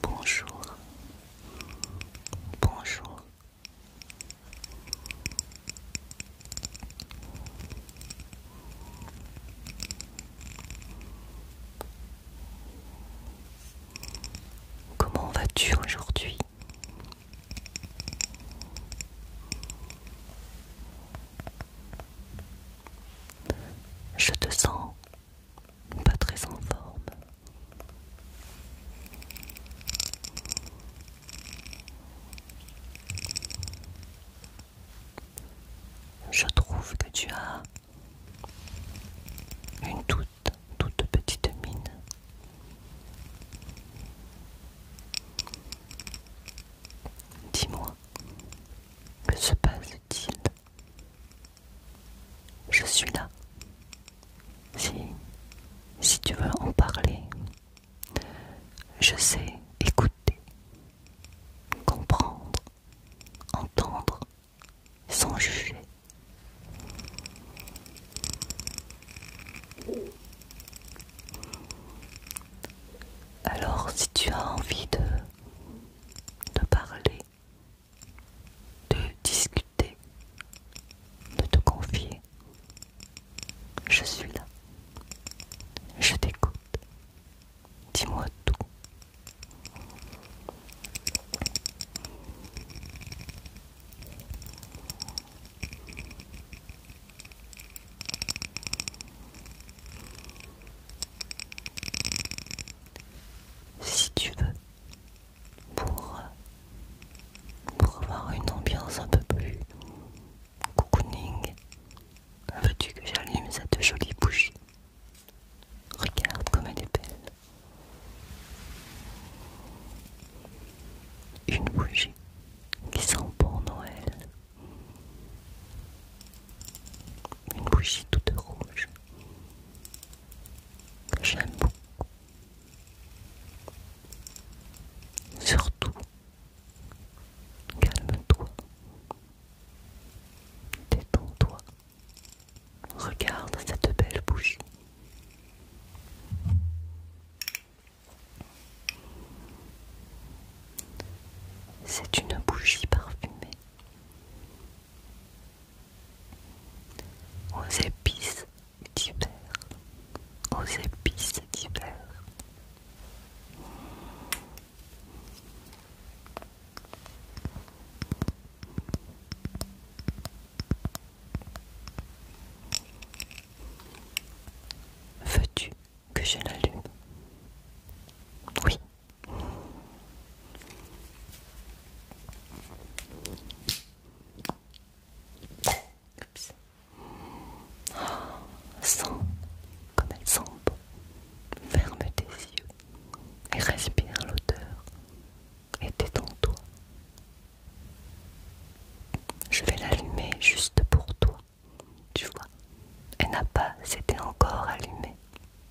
Bonjour. Bonjour. Comment vas-tu aujourd'hui Je te sens pas très en forme. Je trouve que tu as une toute, toute petite mine. Dis-moi, que se passe je suis là. Si, si tu veux en parler, je sais écouter, comprendre, entendre, sans juger. Alors si tu as envie de parler, de discuter, de te confier. Je suis là. Je t'écoute. Dis-moi tout si tu veux, pour, pour avoir une ambiance un peu plus cocooning, veux-tu que j'allume cette jolie bougie Regarde comme elle est belle. Une bougie qui sent bon Noël. Une bougie toute rouge. J'aime beaucoup. Surtout, calme-toi. Détends-toi. Regarde cette belle bougie. C'est une bougie parfumée aux épices d'hiver, aux épices d'hiver. Veux-tu que je l'allume Oui. Oups. Oh, sens comme elle sent bon. Ferme tes yeux et respire l'odeur. Et détends-toi. Je vais l'allumer juste pour toi. Tu vois, elle n'a pas été encore allumée.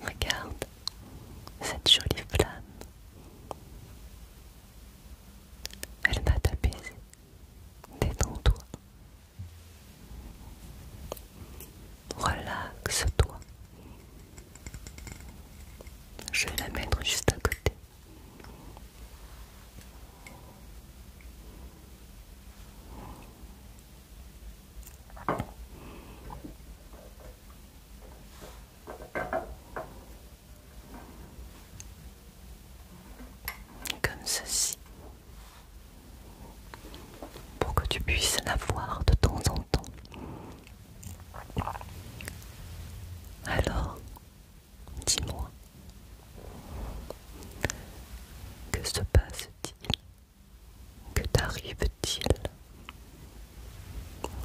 Regarde cette jolie flamme. Elle va t'apaiser. Détends-toi. Relaxe-toi. Je vais la mettre juste à côté. Comme ceci. Pour que tu puisses la voir de temps en temps. Alors, dis-moi, que se passe-t-il que t'arrive-t-il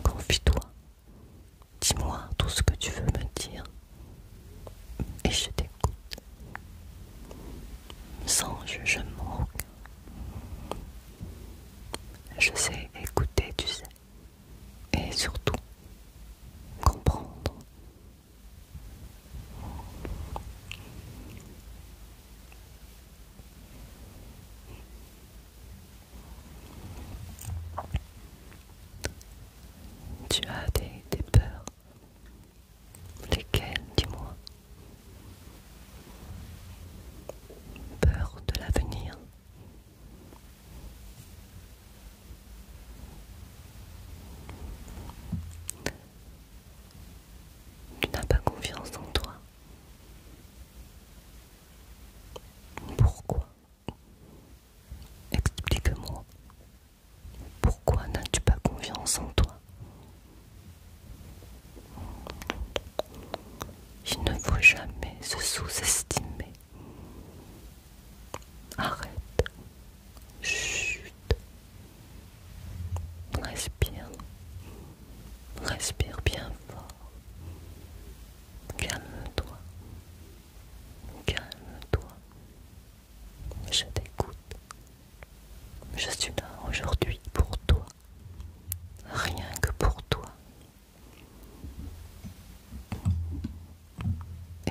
Confie-toi. Dis-moi tout ce que tu veux me dire. Et je t'écoute. Sans jugement aucun. Je sais écouter, tu sais. Et surtout, comprendre tu as des, peurs. Lesquelles, dis-moi Peur de l'avenir. Tu n'as pas confiance en toi. Pourquoi Explique-moi. Pourquoi n'as-tu pas confiance en toi Il ne faut jamais se sous-estimer. Arrête. Chut. Respire. Respire bien fort. Calme-toi. Calme-toi. Je t'écoute. Je suis là aujourd'hui pour toi. Rien que pour toi.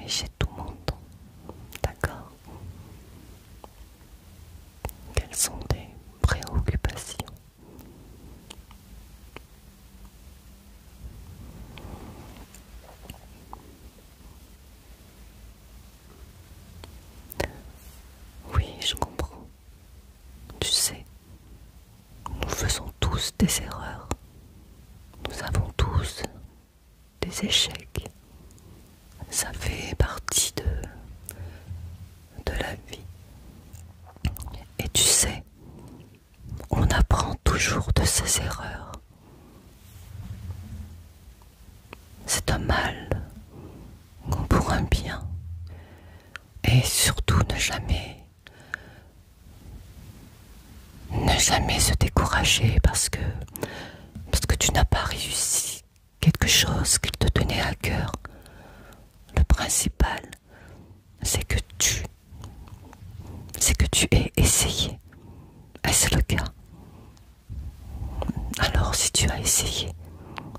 Et j'ai tout mon temps. D'accord quelles sont tes préoccupations Oui, je comprends. Tu sais, nous faisons tous des erreurs. Nous avons tous des échecs. Ça fait partie de, de la vie. Et tu sais, on apprend toujours de ses erreurs. C'est un mal pour un bien. Et surtout ne jamais ne jamais se décourager parce que parce que tu n'as pas réussi quelque chose qu'il te tenait à cœur. Le principal, c'est que tu, c'est que tu aies essayé. Est-ce le cas Alors, si tu as essayé,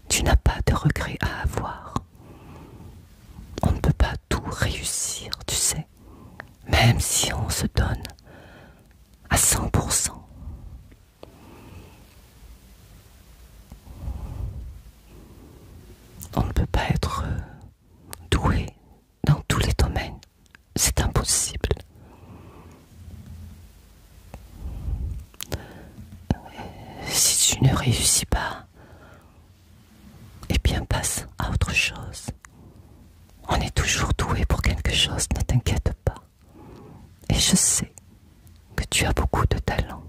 tu n'as pas de regrets à avoir. On ne peut pas tout réussir, tu sais, même si on se donne à 100%. On ne peut pas être euh, doué dans tous les domaines. C'est impossible. Si tu ne réussis pas, eh bien passe à autre chose. On est toujours doué pour quelque chose, ne t'inquiète pas. Et je sais que tu as beaucoup de talent.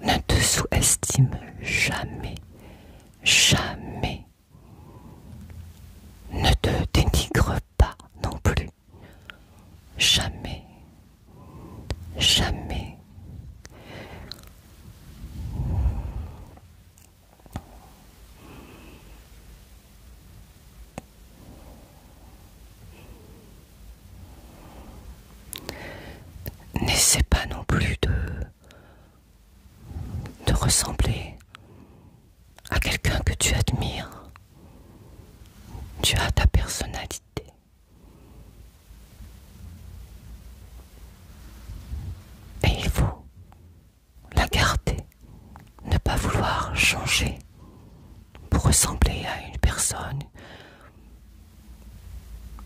Ne te sous-estime jamais, jamais. Ne te dénigre pas non plus. Jamais, jamais. N'essaie pas non plus de, de ressembler à quelqu'un que tu admires. Tu as ta personnalité. il faut la garder, ne pas vouloir changer pour ressembler à une personne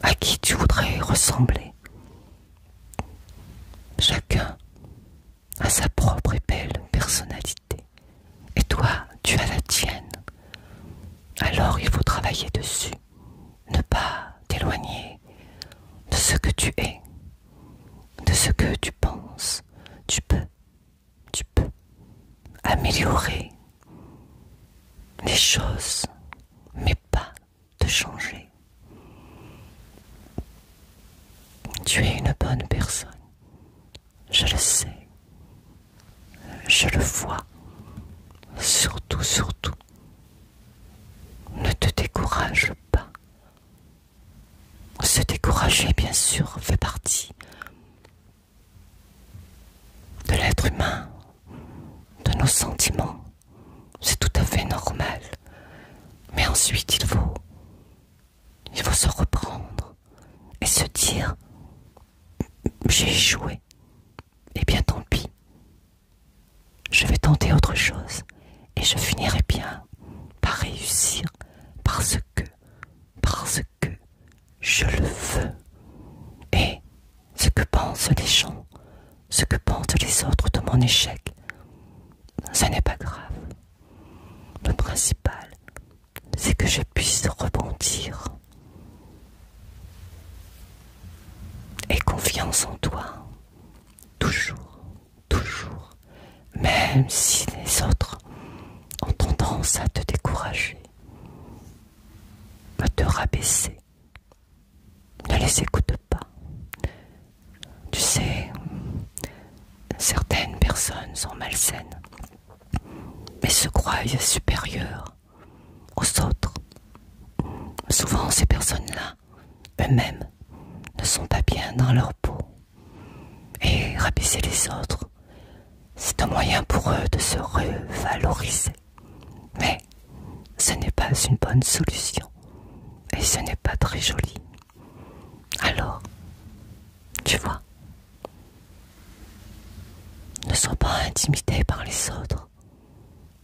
à qui tu voudrais ressembler. Chacun a sa propre et belle personnalité. Et toi, tu as la tienne. Alors il faut travailler dessus, ne pas t'éloigner de ce que tu es, de ce que tu penses. Tu peux, tu peux améliorer les choses, mais pas te changer. Tu es une bonne personne. Je le sais. Je le vois. Surtout, surtout. Ne te décourage pas. Se décourager, bien sûr, fait partie de l'être humain, de nos sentiments. C'est tout à fait normal. Mais ensuite, il faut, il faut se reprendre et se dire, j'ai joué et eh bien, tant pis. Je vais tenter autre chose et je finirai bien par réussir parce que, parce que je le veux. Et ce que pensent les gens, ce que pensent les autres de mon échec, ce n'est pas grave. Le principal, c'est que je puisse rebondir. Et confiance en toi, toujours toujours, même si les autres ont tendance à te décourager, à te rabaisser. Ne les écoute pas. Tu sais, certaines personnes sont malsaines, mais se croient supérieures aux autres. Souvent, ces personnes-là, eux-mêmes, ne sont pas bien dans leur peau. Et rabaisser les autres, c'est un moyen pour eux de se revaloriser. Mais ce n'est pas une bonne solution et ce n'est pas très joli. Alors, tu vois, ne sois pas intimidé par les autres,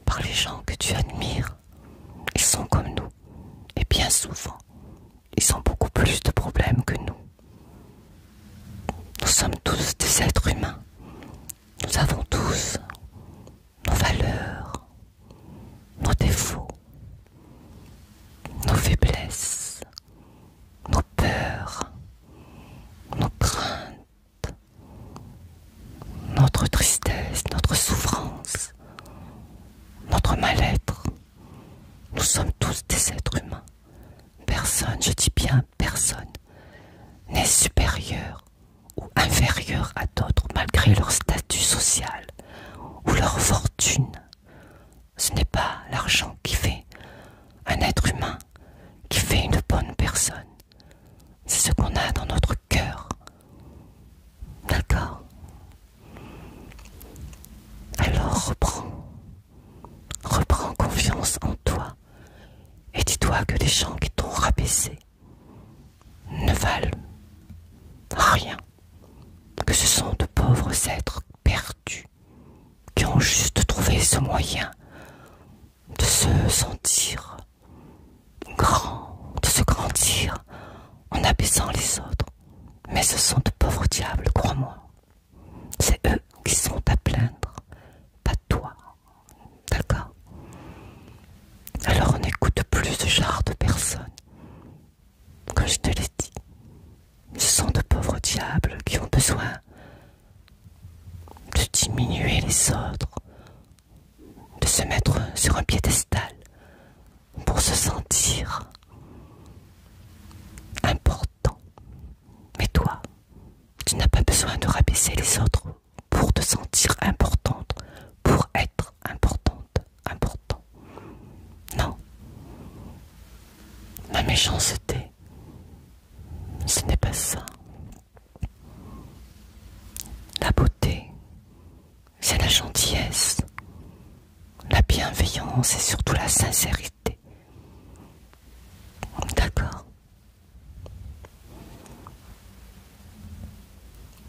par les gens que tu admires. Ils sont comme nous. Et bien souvent, ils ont beaucoup plus de problèmes que nous. Nous sommes tous des êtres humains. Nous avons tous nos valeurs, nos défauts, nos faiblesses, nos peurs, nos craintes, notre tristesse, notre souffrance, notre mal-être. Nous sommes tous des êtres humains. Personne, je dis bien personne, n'est supérieur ou inférieur à d'autres malgré leur statut social ou leur fortune. Ce n'est pas l'argent qui fait un être humain, qui fait une bonne personne. C'est ce qu'on a dans notre cœur, D'accord Alors reprends. Reprends confiance en toi et dis-toi que les gens qui t'ont rabaissé ne valent rien, que ce sont de pauvres êtres perdus qui ont juste trouvé ce moyen de se sentir grand, de se grandir en abaissant les autres. Mais ce sont de pauvres diables, crois-moi. C'est eux qui sont à plaindre, pas toi. D'accord Alors on n'écoute plus ce genre de personnes. Comme je te l'ai dit, ce sont de pauvres diables qui ont besoin de diminuer les autres, de se mettre sur un piédestal, pour se sentir important. Mais toi, tu n'as pas besoin de rabaisser les autres pour te sentir importante, pour être importante, important. Non. Ma méchanceté, ce n'est pas ça. La beauté, c'est la gentillesse, la bienveillance et surtout la sincérité. D'accord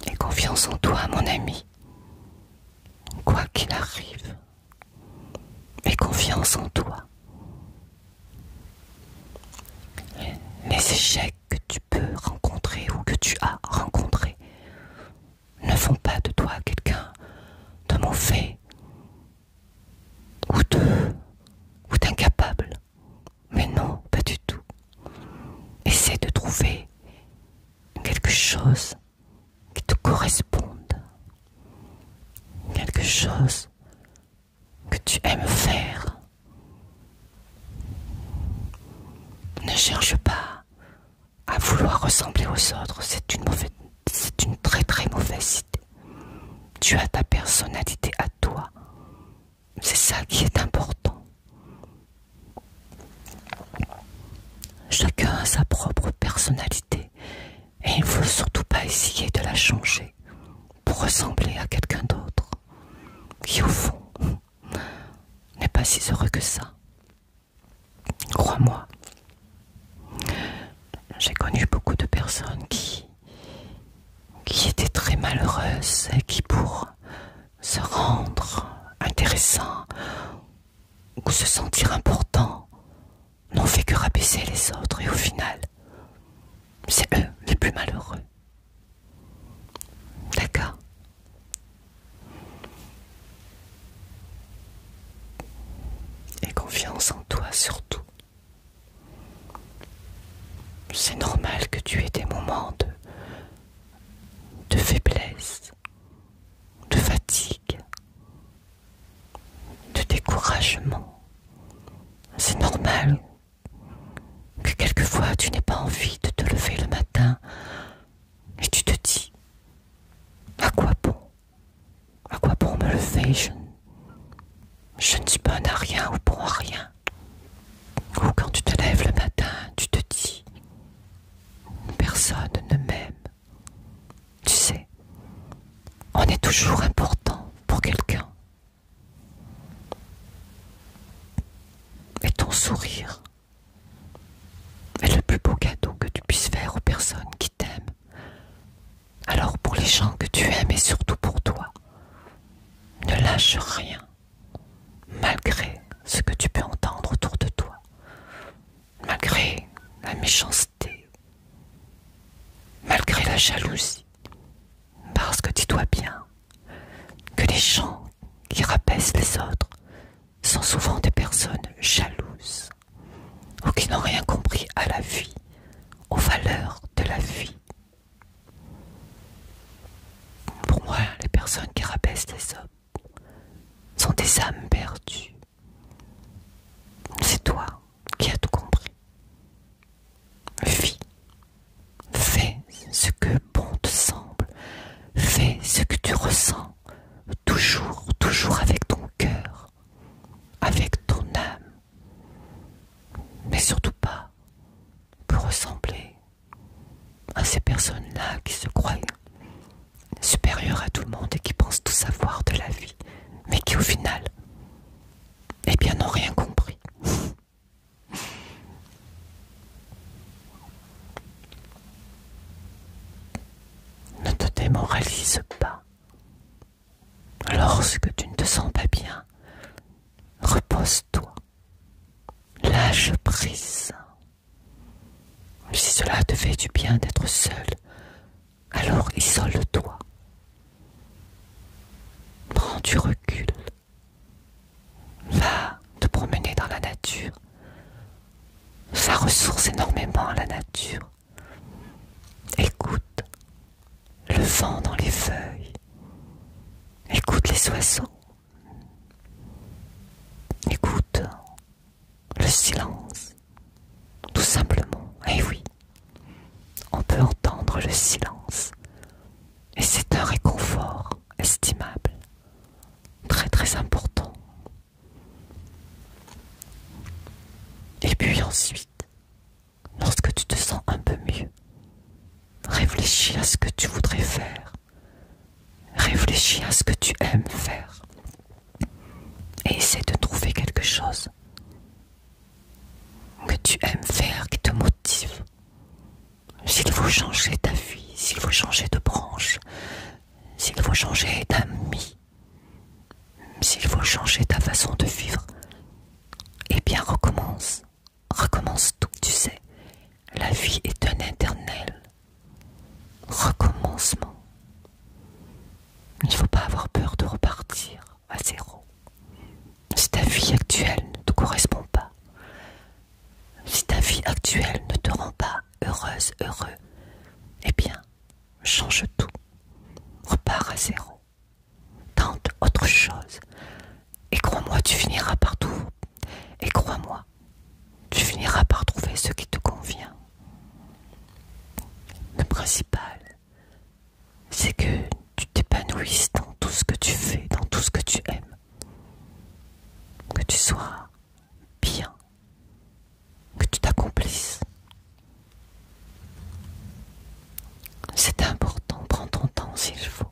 Et confiance en toi, mon ami, quoi qu'il arrive. Et confiance en toi. Les échecs que tu peux rencontrer ou que tu as rencontrés ne font pas de toi quelqu'un de mauvais ou de ou d'incapable. Mais non, pas du tout. Essaie de trouver quelque chose qui te corresponde. Quelque chose que tu aimes faire. Ne cherche pas à vouloir ressembler aux autres, c'est une, mauvaise, c'est une très très mauvaise idée. Tu as ta personnalité à toi. C'est ça qui est important. Chacun a sa propre personnalité et il ne faut surtout pas essayer de la changer pour ressembler à quelqu'un d'autre qui au fond n'est pas si heureux que ça. Crois-moi, j'ai connu beaucoup de personnes qui, qui étaient très malheureuses et qui pour se rendre intéressant ou se sentir important n'ont fait que rabaisser les autres et au final, c'est eux les plus malheureux. D'accord et confiance en toi surtout. C'est normal que tu aies des moments de, de faiblesse, de fatigue, de découragement. C'est normal que quelquefois tu n'aies pas envie de te lever le matin et tu te dis, à quoi bon À quoi bon me lever je, je ne suis pas à rien ou pour rien. Ou quand tu te lèves le matin, tu te dis, personne ne m'aime. Tu sais, on est toujours important pour quelqu'un. Et ton sourire est le plus beau cadeau que tu puisses faire aux personnes qui t'aiment, alors pour les gens que tu aimes et surtout pour toi, ne lâche rien, malgré ce que tu peux entendre autour de toi, malgré la méchanceté, malgré la jalousie, parce que tu dois bien que les gens qui rabaissent les autres sont souvent des personnes jalouses ou qui n'ont rien compris à la vie, aux valeurs de la vie. Pour moi, les personnes qui rabaissent les hommes sont des âmes perdues. C'est toi qui as tout compris. Vie, fais ce que bon te semble. Fais ce que tu ressens, toujours, toujours avec ton cœur, avec ton âme, mais surtout pas pour ressembler à ces personnes-là qui se croient supérieures à tout le monde et qui pensent tout savoir de la vie, mais qui au final, eh bien, n'ont rien compris. Ne te démoralise pas. Lorsque tu ne te sens pas bien, repose-toi. Lâche prise. Si cela te fait du bien d'être seul, alors isole-toi. Prends du recul. Va te promener dans la nature. Ça ressource énormément à la nature. Écoute le vent dans les feuilles. Écoute les oiseaux. Écoute le silence. Tout simplement. eh oui, on peut entendre le silence. Et c'est un réconfort estimable très très important. Et puis ensuite, lorsque tu te sens un peu mieux, réfléchis à ce que tu voudrais faire. Réfléchis à ce que tu aimes faire. Et essaie de trouver quelque chose que tu aimes faire, qui te motive, s'il faut changer ta vie, s'il faut changer de branche, s'il faut changer d'amis, s'il faut changer ta façon de vivre, eh bien recommence. Recommence tout, que tu sais. La vie est un éternel recommencement. Il ne faut pas avoir peur de repartir à zéro. Si ta vie actuelle ne te correspond pas, si ta vie actuelle ne te rend pas heureuse, heureux, eh bien, change tout. Repars à zéro. Tente autre chose. Et crois-moi, tu finiras par tout. Et crois-moi, tu finiras par trouver ce qui te convient. Le principal, c'est que tu t'épanouisses dans tout ce que tu fais, dans tout ce que tu aimes. Que tu sois bien que tu t'accomplisses. C'est important, prends ton temps s'il faut.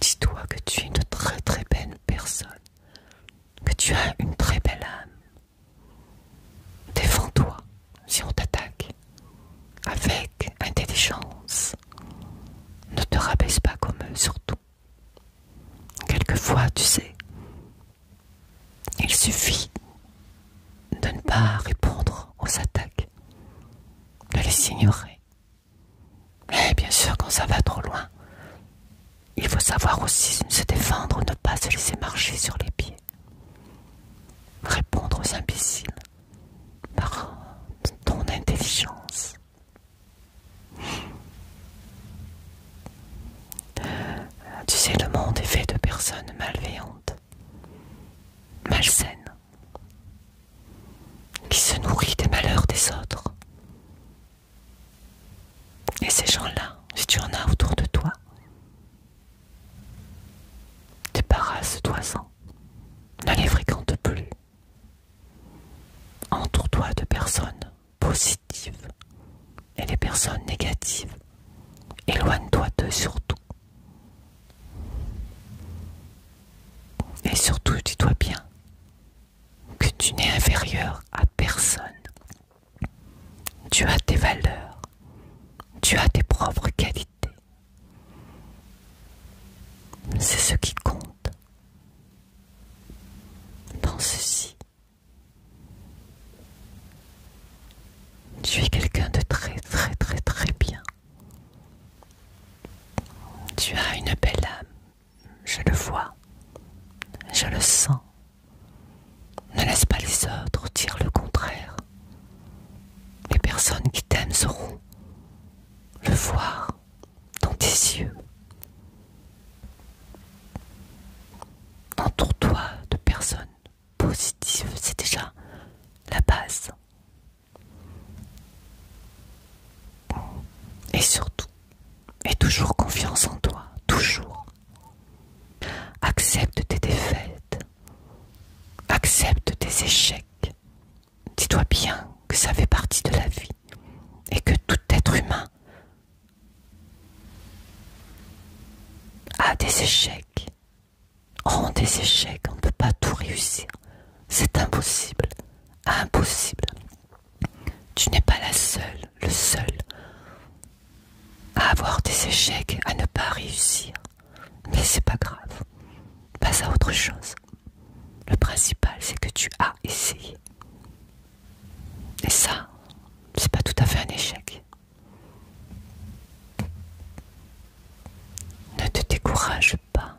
Dis-toi que tu es une très très belle personne, que tu as une très belle âme. Défends-toi si on t'attaque avec intelligence. Ne te rabaisse pas comme eux, surtout. Quelquefois, tu sais, il suffit de ne pas répondre aux attaques, de les ignorer. Et bien sûr, quand ça va trop loin, il faut savoir aussi se défendre, ne pas se laisser marcher sur les pieds, répondre aux imbéciles par ton intelligence. Tu sais, le monde est fait de personnes malveillantes, malsaines, qui se nourrissent des malheurs des autres. Et ces gens-là, si tu en as autour de toi, Débarrasse-toi-en. Ne les fréquente plus. Entoure-toi de personnes positives et les personnes négatives. Éloigne-toi d'eux surtout. Et surtout, dis-toi bien que tu n'es inférieur à personne. Tu as tes valeurs, tu as tes propres qualités. C'est ce qui compte dans ceci. Tu es quelqu'un de très très très très bien. Tu as une belle âme. Je le vois. Je le sens. Ne laisse pas les autres dire le contraire. Les personnes qui t'aiment seront le voir dans tes yeux. Entoure-toi de personnes positives, c'est déjà la base. Et surtout, aie toujours confiance en toi, toujours. Accepte tes défaites, Accepte tes échecs. Dis-toi bien que ça fait partie de la vie et que tout être humain a des échecs. rend des échecs, on ne peut pas tout réussir. C'est impossible. Impossible. Tu n'es pas la seule, le seul à avoir des échecs, à ne pas réussir. Mais c'est pas grave. Passe à autre chose. Le principal, c'est que tu as essayé. Et ça, c'est pas tout à fait un échec. Ne te décourage pas.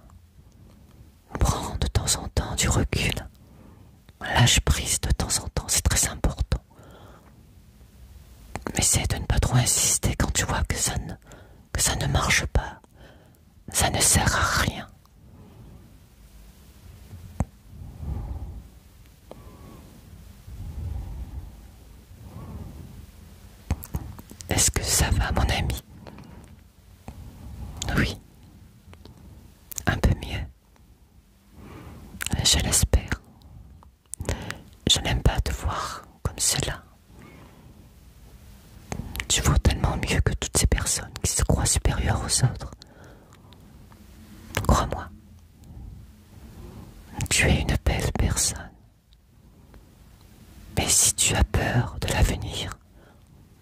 Prends de temps en temps du recul. Lâche prise de temps en temps, c'est très important. Mais essaye de ne pas trop insister quand tu vois que ça ne que ça ne marche pas, ça ne sert à rien. Est-ce que ça va, mon ami Oui, un peu mieux. Je l'espère. Je n'aime pas te voir comme cela. Tu vaux tellement mieux que toutes ces personnes qui se croient supérieures aux autres. Crois-moi, tu es une belle personne. Mais si tu as peur de l'avenir,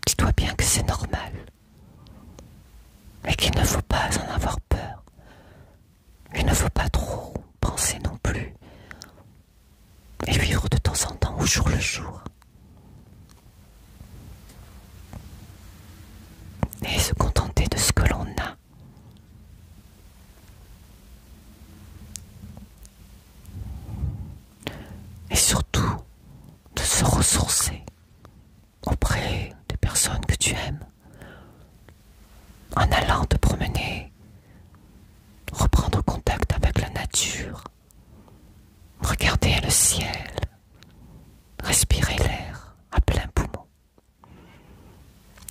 dis-toi bien que c'est normal. Mais qu'il ne faut pas en avoir peur. Il ne faut pas trop penser non plus et vivre de temps en temps au jour le jour. Et se contenter de ce que l'on a. Et surtout de se ressourcer auprès des personnes que tu aimes, en allant te promener, reprendre contact avec la nature, regarder le ciel, respirer l'air à plein poumon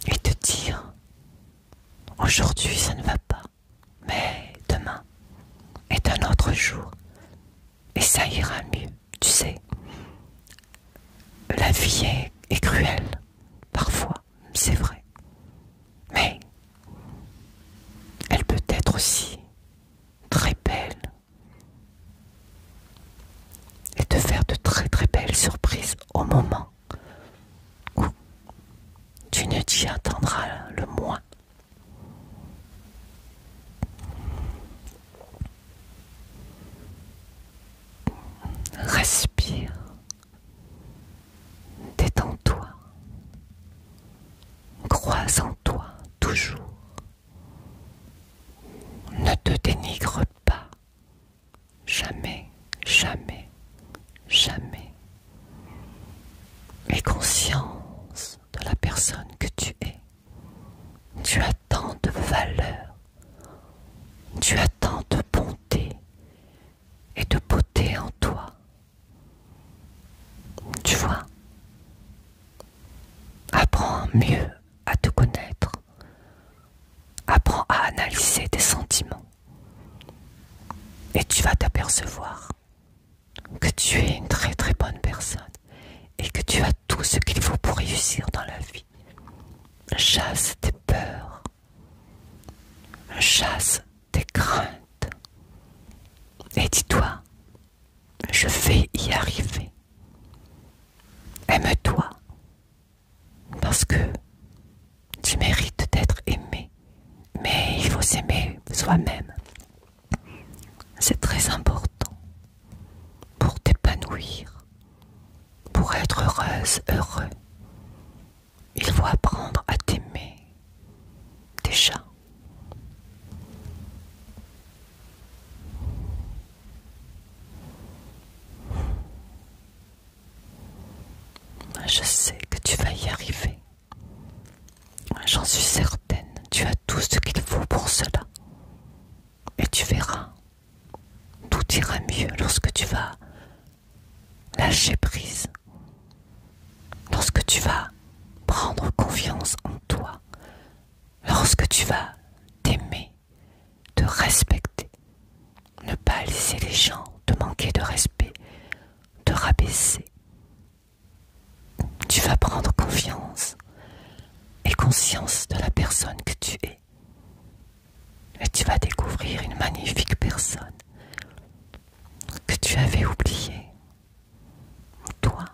et te dire, aujourd'hui ça ne va pas, mais demain est un autre jour et ça ira mieux, tu sais. La vie est, est cruelle, parfois c'est vrai. Mais elle peut être aussi très belle et te faire de très très belles surprises au moment où tu ne t'y attendras le moins. Respire Détends-toi. Crois en toi toujours. Ne te dénigre pas. Jamais, jamais, jamais. Aie conscience de la personne que tu es. Tu as tant de valeur. Tu as tant de bonté et de beauté en toi. Tu vois, apprends mieux à te connaître, apprends à analyser tes sentiments et tu vas t'apercevoir que tu es une très très bonne personne et que tu as tout ce qu'il faut pour réussir dans la vie. Chasse tes peurs, chasse tes craintes et dis-toi, je vais y arriver. Aime-toi parce que tu mérites d'être aimé, mais il faut s'aimer soi-même. C'est très important pour t'épanouir, pour être heureuse, heureux. Il faut apprendre à t'aimer déjà. Je sais que tu vas y arriver. J'en suis certaine. Tu as tout ce qu'il faut pour cela. Et tu verras. Tout ira mieux lorsque tu vas lâcher prise. Lorsque tu vas prendre confiance en toi, lorsque tu vas t'aimer, te respecter, ne pas laisser les gens te manquer de respect, te rabaisser. Tu vas prendre confiance et conscience de la personne que tu es et tu vas découvrir une magnifique personne que tu avais oubliée. Toi.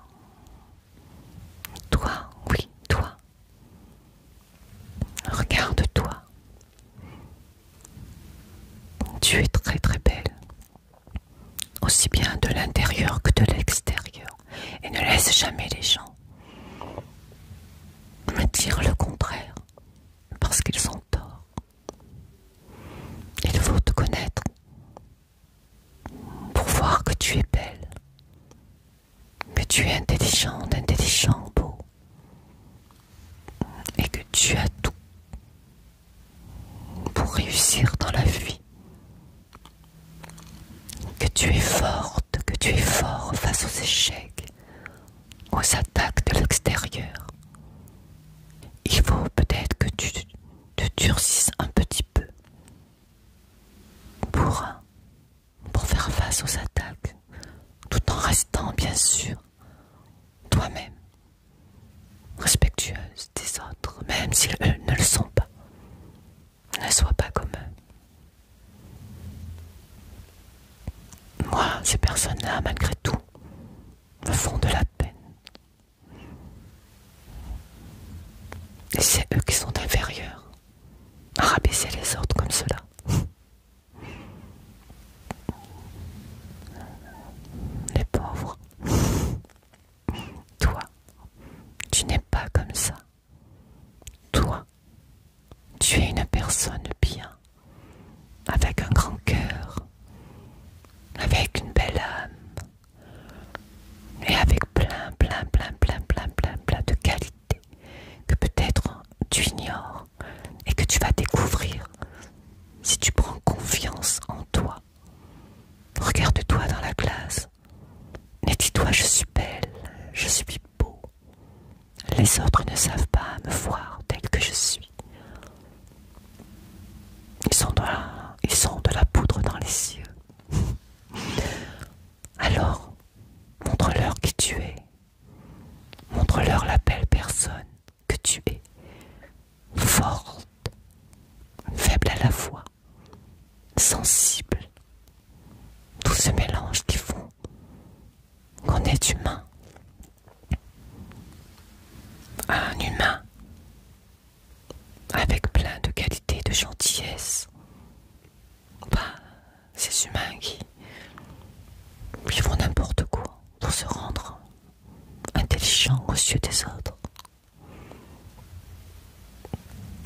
Toi, oui, toi. Regarde-toi. Tu es très très belle, aussi bien de l'intérieur que de l'extérieur, et ne laisse jamais les gens me dire le contraire parce qu'ils ont tort. Il faut te connaître pour voir que tu es belle, que tu es intelligente, intelligent, beau, et que tu as tout pour réussir dans la vie, que tu es forte, que tu es fort face aux échecs, aux attaques de l'extérieur. Il faut peut-être que tu te durcisses un petit peu pour, pour faire face aux attaques, tout en restant bien sûr toi-même, respectueuse des autres, même s'ils ne le sont pas. Ne sois pas comme eux. Moi, ces personnes-là, malgré tout, me font de la peine. Et c'est eux qui sont inférieurs à rabaisser les autres comme cela. Les pauvres. Toi, tu n'es pas comme ça. Toi, tu es une personne bien, avec un grand cœur, avec une belle âme, et avec plein, plein, plein, plein, plein, plein, plein de qualités que peut-être tu ignores et que tu vas découvrir si tu prends confiance en toi. Regarde-toi dans la glace et dis-toi je suis belle, je suis les autres ne savent pas me voir tel que je suis. Ils sont de la, de la poudre dans les cieux. Alors, montre-leur qui tu es. Montre-leur la belle personne que tu es. Forte, faible à la fois, sensible. Tout ce mélange qui font qu'on est humain. Un humain avec plein de qualités de gentillesse. Pas ces humains qui, vivent n'importe quoi pour se rendre intelligents aux yeux des autres.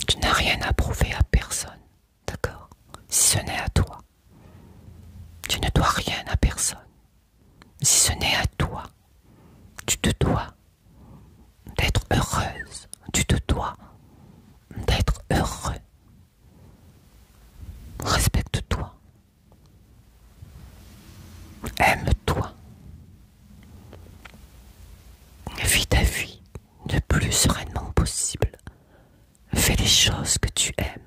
Tu n'as rien à prouver à personne. D'accord Si ce n'est à toi. Tu ne dois rien à personne. Si ce n'est à toi, tu te dois d'être heureuse. Tu te dois d'être heureux. Respecte-toi. Aime-toi. Vis ta vie le plus sereinement possible Fais les choses que tu aimes.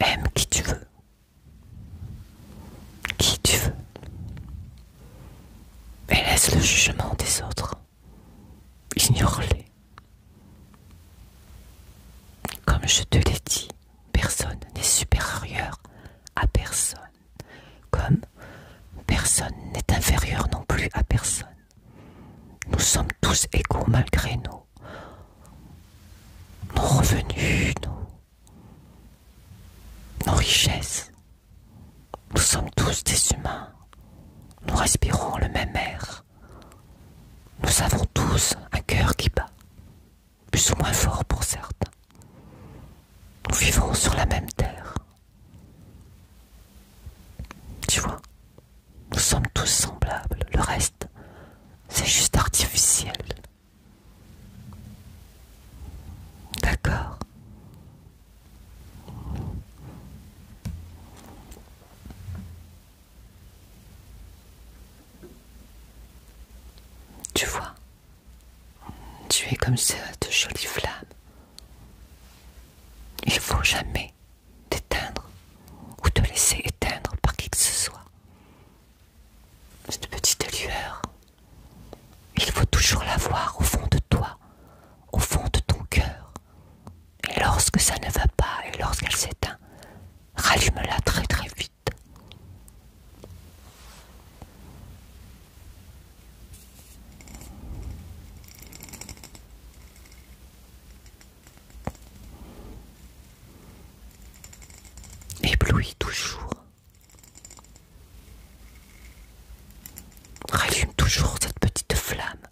Aime qui tu veux. Qui tu veux. Et laisse le jugement des autres. Ignore-les. Comme je te l'ai dit, personne n'est supérieur à personne. Comme personne n'est inférieur non plus à personne. Nous sommes tous égaux malgré nous. Nos revenus, nos, nos richesses. Nous sommes tous des humains. Nous respirons le même air. Nous avons tous un cœur qui bat, plus ou moins fort pour certains. Nous vivons sur la même terre. Tu vois nous sommes tous semblables. Le reste, c'est juste artificiel. D'accord. Tu vois, tu es comme cette jolie flamme. Il faut jamais D'éteindre ou te laisser éteindre par qui que ce soit. Cette petite lueur, il faut toujours la voir au fond de toi, au fond de ton cœur. Et lorsque ça ne va pas et lorsqu'elle s'éteint, rallume-la très très vite éblouis toujours. Rallume toujours cette petite flamme.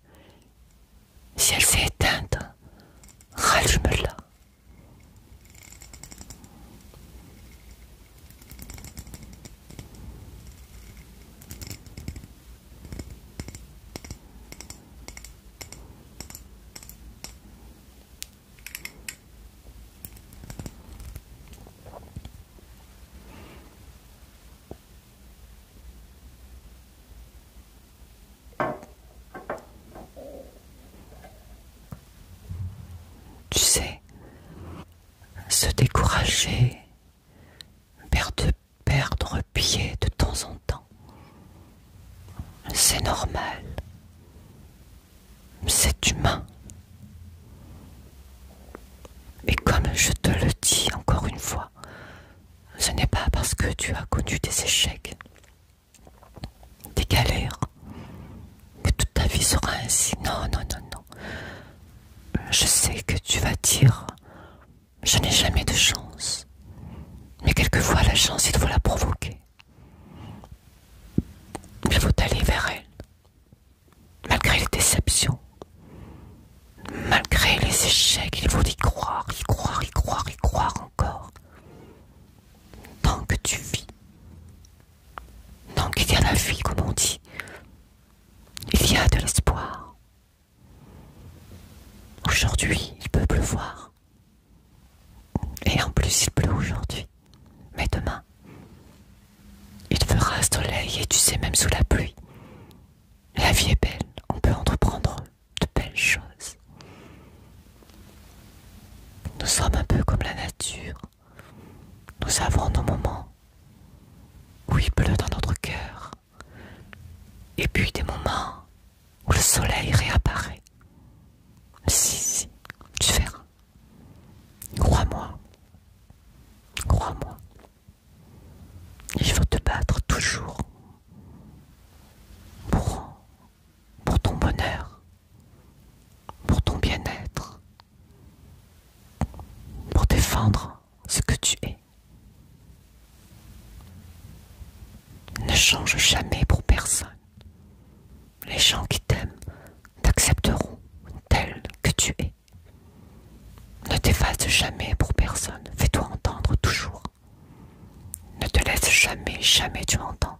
Si elle s'est éteinte, rallume-la. Tu sais, se décourager, perdre perdre pied de temps en temps. C'est normal. C'est humain. Et comme je te le dis encore une fois, ce n'est pas parce que tu as connu des échecs, des galères, que toute ta vie sera ainsi. Non, non, non, non. Je sais que tu vas dire je n'ai jamais de chance. Mais quelquefois, la chance, il faut la provoquer. Il faut aller vers elle. Malgré les déceptions, malgré les échecs, il faut y croire, y croire, y croire, y croire encore. Tant que tu vis, tant qu'il y a la vie, comme on dit, il y a de l'espoir. Aujourd'hui, il peut pleuvoir. Et en plus, il pleut aujourd'hui. Mais demain, il fera soleil et tu sais, même sous la pluie. La vie est belle, on peut entreprendre de belles choses. Nous sommes un peu comme la nature. Nous avons nos moments où il pleut dans notre cœur et puis des moments où le soleil réapparaît. Si, si, tu verras. Crois-moi. Crois-moi. Il faut te battre toujours pour, pour ton bonheur, pour ton bien-être, pour défendre ce que tu es. Ne change jamais pour personne. Les gens qui t'aiment t'accepteront tel que tu es. Ne t'efface jamais pour personne. Fais-toi entendre toujours. Ne te laisse jamais, jamais, tu m'entends,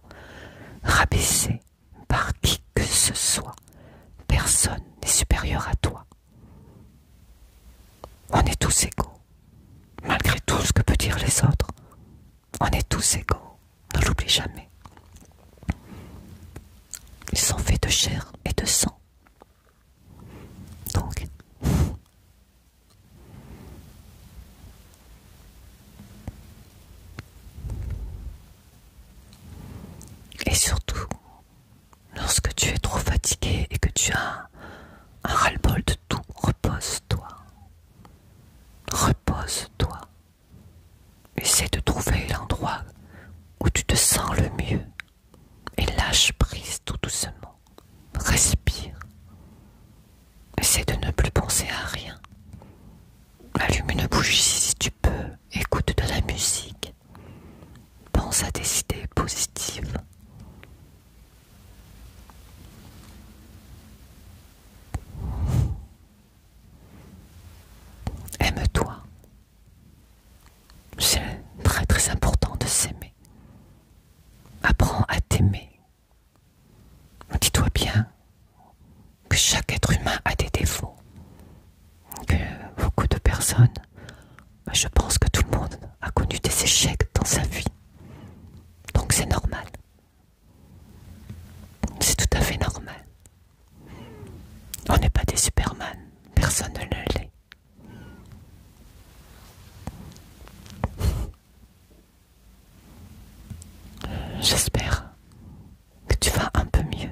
rabaisser par qui que ce soit. Personne n'est supérieur à toi. On est tous égaux, malgré tout ce que peuvent dire les autres. On est tous égaux, ne l'oublie jamais. Ils sont faits de chair et de sang. Donc, et surtout, Lorsque tu es trop fatigué et que tu as un ras-le-bol de tout, repose-toi. Repose-toi. Essaie de trouver l'endroit où tu te sens le mieux et lâche prise tout doucement. Respire. Essaie de ne plus penser à rien. Allume une bougie si tu peux. Écoute de la musique. Pense à des idées positives. Aime-toi. C'est très très important de s'aimer. Apprends à t'aimer. Dis-toi bien que chaque être humain a des défauts, que beaucoup de personnes je pense que tout le monde a connu des échecs dans sa vie. Donc c'est normal. C'est tout à fait normal. On n'est pas des Superman. Personne ne l'est. J'espère que tu vas un peu mieux.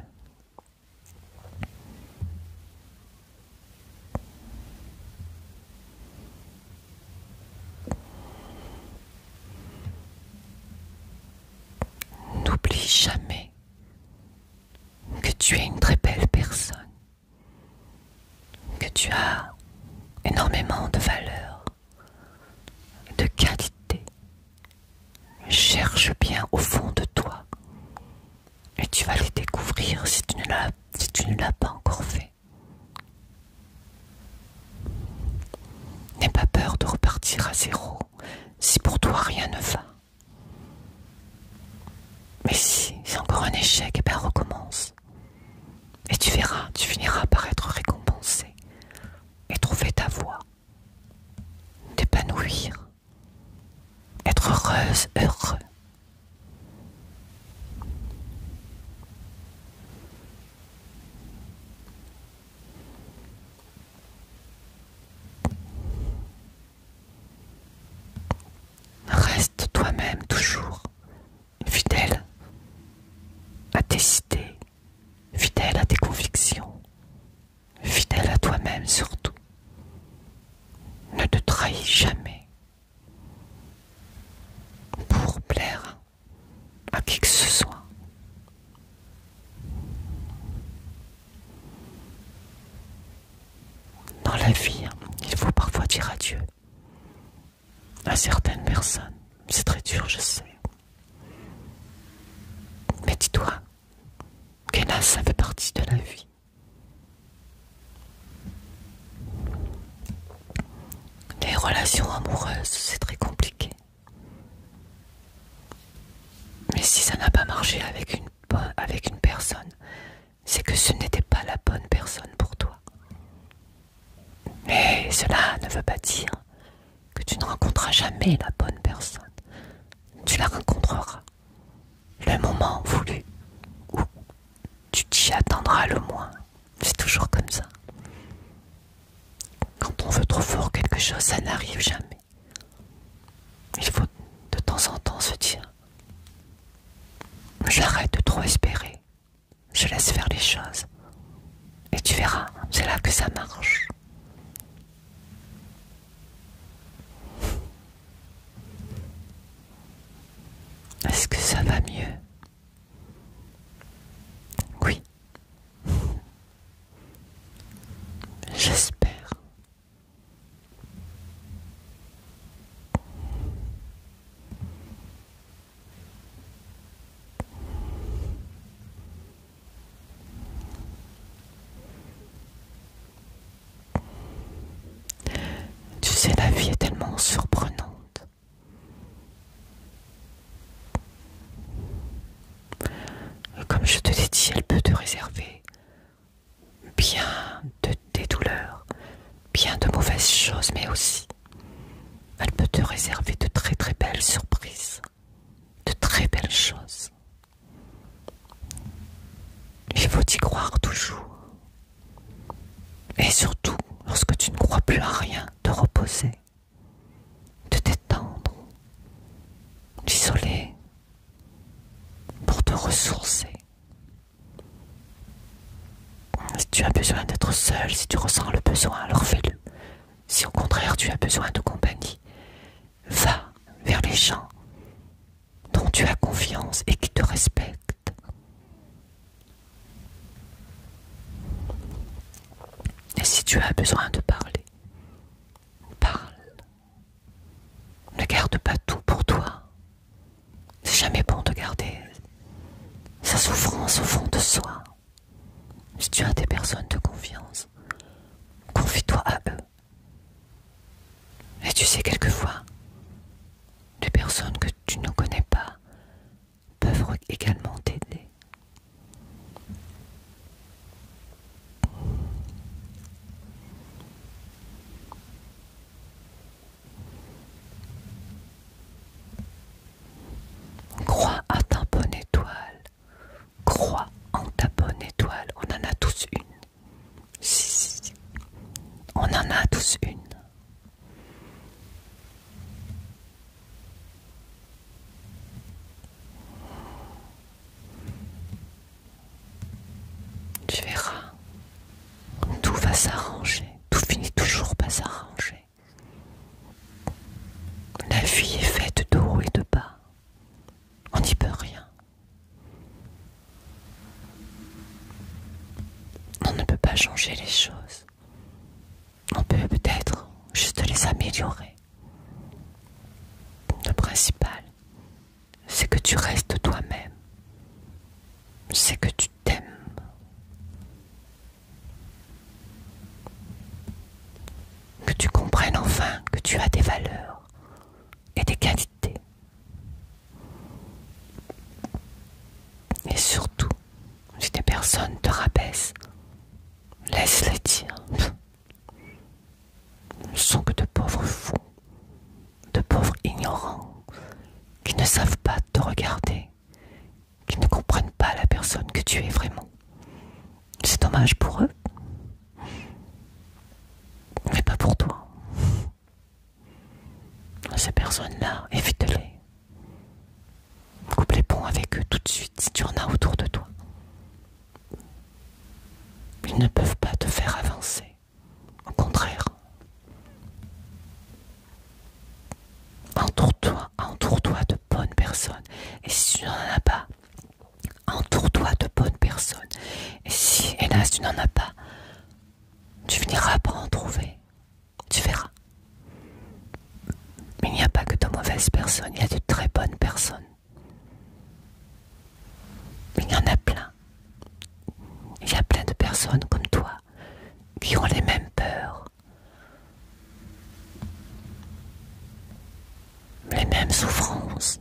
N'oublie jamais que tu es une très belle personne, que tu as énormément de valeur, de qualité. Cherche bien au fond de toi et tu vas les découvrir si tu ne l'as pas encore fait. N'aie pas peur de repartir à zéro si pour toi rien ne va. Mais si c'est encore un échec, et eh bien recommence. Et tu verras, tu finiras par être récompensé et trouver ta voie, D'épanouir être heureuse, heureux. Reste toi-même toujours fidèle à tes idées, fidèle à tes convictions, fidèle à toi-même surtout ne te trahis jamais pour plaire à qui que ce soit. Dans la vie, hein, il faut parfois dire adieu à certaines personnes. C'est très dur, je sais. Mais dis-toi, Kenas, ça fait partie de la vie. Les relations amoureuses, c'est très compliqué. Mais si ça n'a pas marché avec une, avec une personne, c'est que ce n'était pas la bonne personne pour toi. Mais cela ne veut pas dire que tu ne rencontreras jamais la bonne personne. Tu la rencontreras le moment voulu où tu t'y attendras le moins. C'est toujours comme ça. Quand on veut trop fort quelque chose, ça n'arrive jamais. Il faut de temps en temps se dire J'arrête de trop espérer. Je laisse faire les choses. Et tu verras, c'est là que ça marche. Est-ce que ça va mieux Oui. J'espère. Tu sais, la vie est tellement surprenante. Comme je te l'ai dit, elle peut te réserver bien de, tes douleurs, bien de mauvaises choses, mais aussi elle peut te réserver de très très belles surprises, de très belles choses. Il faut y croire toujours. Et surtout, lorsque tu ne crois plus à rien, te reposer, de t'étendre, d'isoler, pour te ressourcer. Si tu as besoin d'être seul, si tu ressens le besoin, alors fais-le. Si au contraire tu as besoin de compagnie, va vers les gens dont tu as confiance et qui te respecte. Et si tu as besoin de parler, parle. Ne garde pas tout pour toi. C'est jamais bon de garder sa souffrance au fond de soi. Si tu as des personnes de confiance, confie-toi à eux. Et tu sais, quelquefois, des personnes que tu ne connais pas peuvent également t'aider. Crois à ta bonne étoile. Crois en ta bonne étoile. On en a tous une. Si, si, On en a tous une. Tu verras, tout va s'arranger, tout finit toujours par s'arranger. La vie est faite de haut et de bas, on n'y peut rien. On ne peut pas changer les choses. On peut peut-être juste les améliorer. Le principal, c'est que tu restes toi-même. C'est que tu t'aimes. Que tu comprennes enfin que tu as des valeurs et des qualités et surtout, si des personnes te rabaissent, laisse-les dire. Ne sont que de pauvres fous, de pauvres ignorants, qui ne savent pas te regarder, qui ne comprennent pas la personne que tu es vraiment. C'est dommage pour eux, mais pas pour toi. Ces personnes-là, évite-les. Coupe les ponts avec eux tout de suite si tu en as autour de toi. Ils ne peuvent pas te faire avancer. Au contraire. Entoure-toi, entoure-toi de bonnes personnes. Et si tu n'en as pas, Entoure-toi de bonnes personnes. Et si, hélas, tu n'en as pas, tu finiras par en trouver. Tu verras. Mais il n'y a pas que de mauvaises personnes, il y a de très bonnes personnes. Il y en a plein. Il y a plein de personnes comme toi qui ont les mêmes peurs, les mêmes souffrances,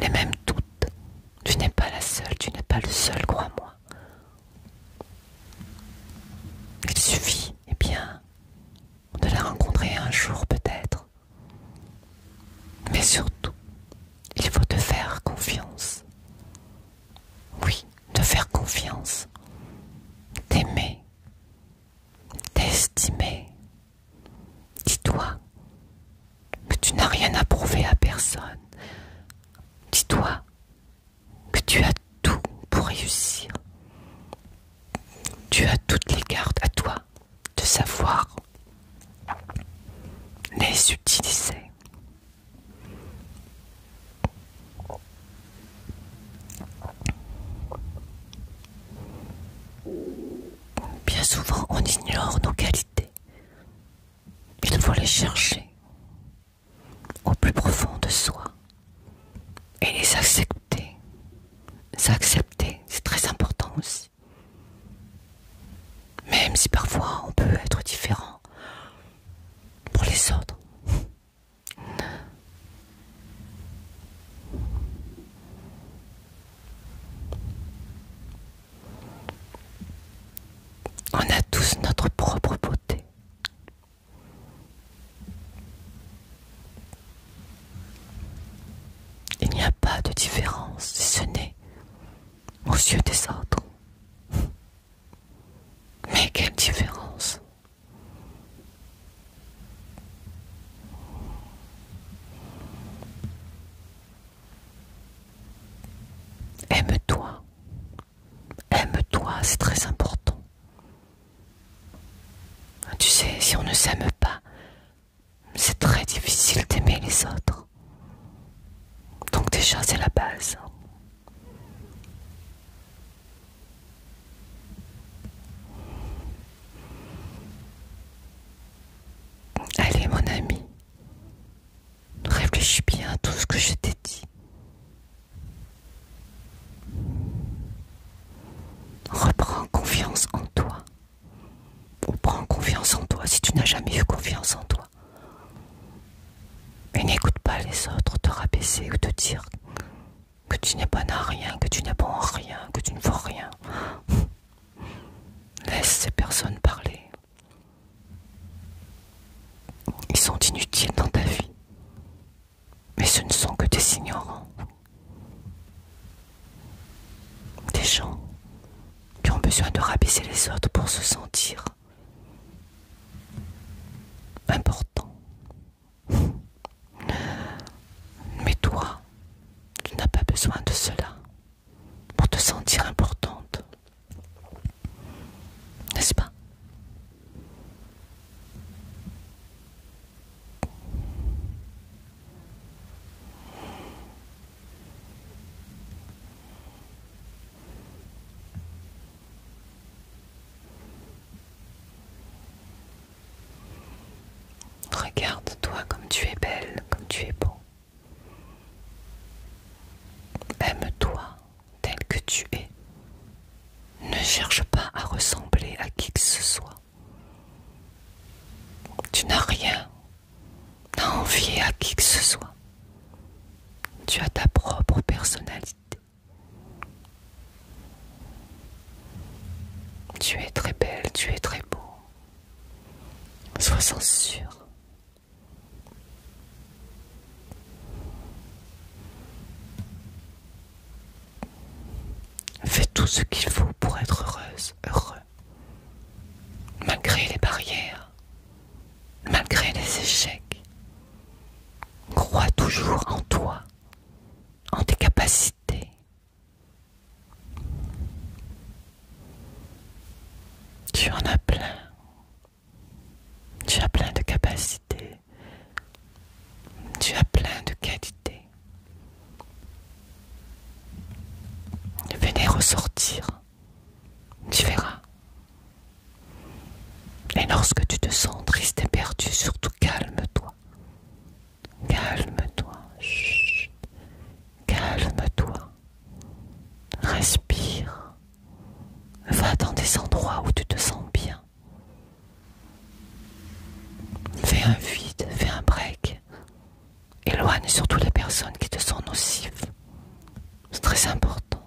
les même toutes. Tu n'es pas la seule, tu n'es pas le seul, crois-moi. Il suffit, eh bien, de la rencontrer un jour peut-être. Mais surtout, il faut te faire confiance. Oui, te faire confiance. T'aimer. T'estimer. Dis-toi que tu n'as rien à prouver à personne. Dis-toi que tu as tout pour réussir. Tu as toutes les cartes à toi de savoir les utiliser. Bien souvent, on ignore nos qualités. Il faut les chercher au plus profond de soi et les accepter. accepter c'est très important aussi. Même si parfois on peut être différent pour les autres. On a tous notre propre beauté. Il n'y a pas de différence si ce n'est aux yeux des autres. Mais quelle différence Aime-toi. Aime-toi, c'est très important. Tu sais, si on ne s'aime pas, c'est très difficile d'aimer les autres. Donc déjà, c'est la base. Allez mon ami, réfléchis bien à tout ce que je t'ai dit. Reprends confiance en toi. Reprends confiance en toi si tu n'as jamais eu confiance en toi. Et n'écoute pas les autres te rabaisser ou te dire que tu n'es pas à rien, que tu n'es pas en rien, que tu ne vaux rien. Laisse ces personnes parler. Ils sont inutiles dans ta vie. Mais ce ne sont que des ignorants. Des gens qui ont besoin de rabaisser les autres pour se sentir importants. Mais toi, tu n'as pas besoin de cela pour te sentir importante. N'est-ce pas Regarde-toi comme tu es belle, comme tu es beau. Aime-toi tel que tu es. Ne cherche pas à ressembler à qui que ce soit. Tu n'as rien à envier à qui que ce soit. Tu as ta propre personnalité. Tu es très belle, tu es très beau. Sois sans sûr. Fais tout ce qu'il faut pour être heureuse, heureux. Malgré les barrières, malgré les échecs, crois toujours en toi, en tes capacités, tu en as plein. Tu as plein de capacités. Tu as plein de qualités. Venez ressortir. Tu verras. Et lorsque tu te sens triste et perdu, surtout calme-toi. Calme-toi. Calme-toi. Respire. Va dans des endroits où tu te sens bien. Fais un vide, fais un break. Éloigne surtout les personnes qui te sont nocives. C'est très important.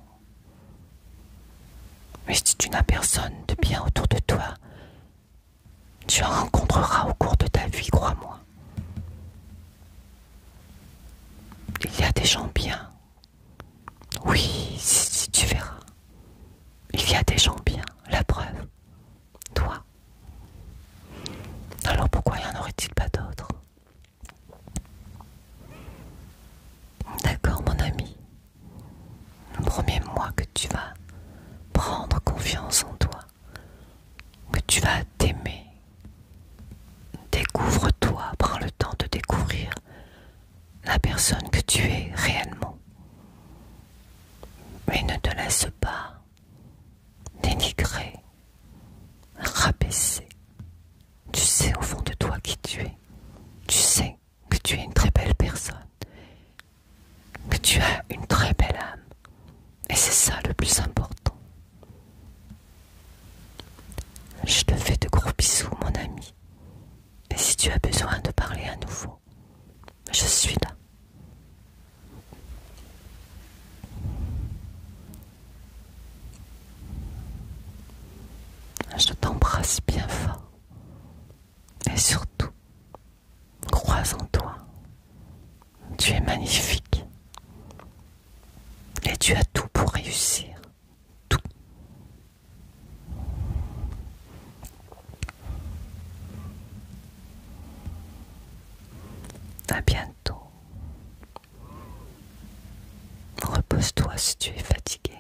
Mais si tu n'as personne de bien autour de toi tu en rencontreras au cours de ta vie, crois-moi. Il y a des gens bien. Oui, si, tu verras. Il y a des gens bien, la preuve. Toi. Alors pourquoi y en aurait-il pas d'autres D'accord, mon ami le premier mois que tu vas prendre confiance en toi, que tu vas t'aimer. Découvre-toi, prends le temps de découvrir la personne que tu es réellement. Mais ne te laisse pas dénigrer, rabaisser. Tu sais au fond de toi qui tu es. Tu sais que tu es une très belle personne que tu as une très belle âme. Et c'est ça le plus important. Je te fais de gros bisous, mon ami. Et si tu as besoin de parler à nouveau, je suis là. Je t'embrasse bien fort. Et surtout, Crois en toi. Tu es magnifique. Et tu as tout pour réussir. Tout. A bientôt. Repose-toi si tu es fatigué.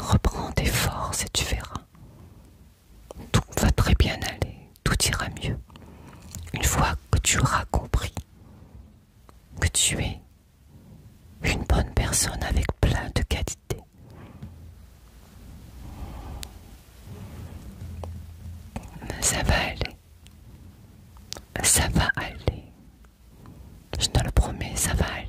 Reprends tes forces et tu verras. Tout va très bien aller, tout ira mieux. Une fois que tu auras compris que tu es une bonne personne avec plein de qualités. Ça va aller. Ça va aller. Je te le promets, ça va aller.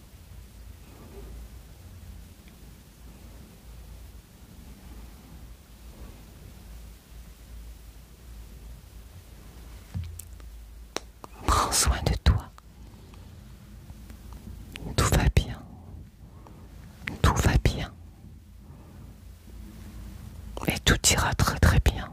Prends soin de toi. Tout va bien. Tout va bien. Et tout ira très très bien.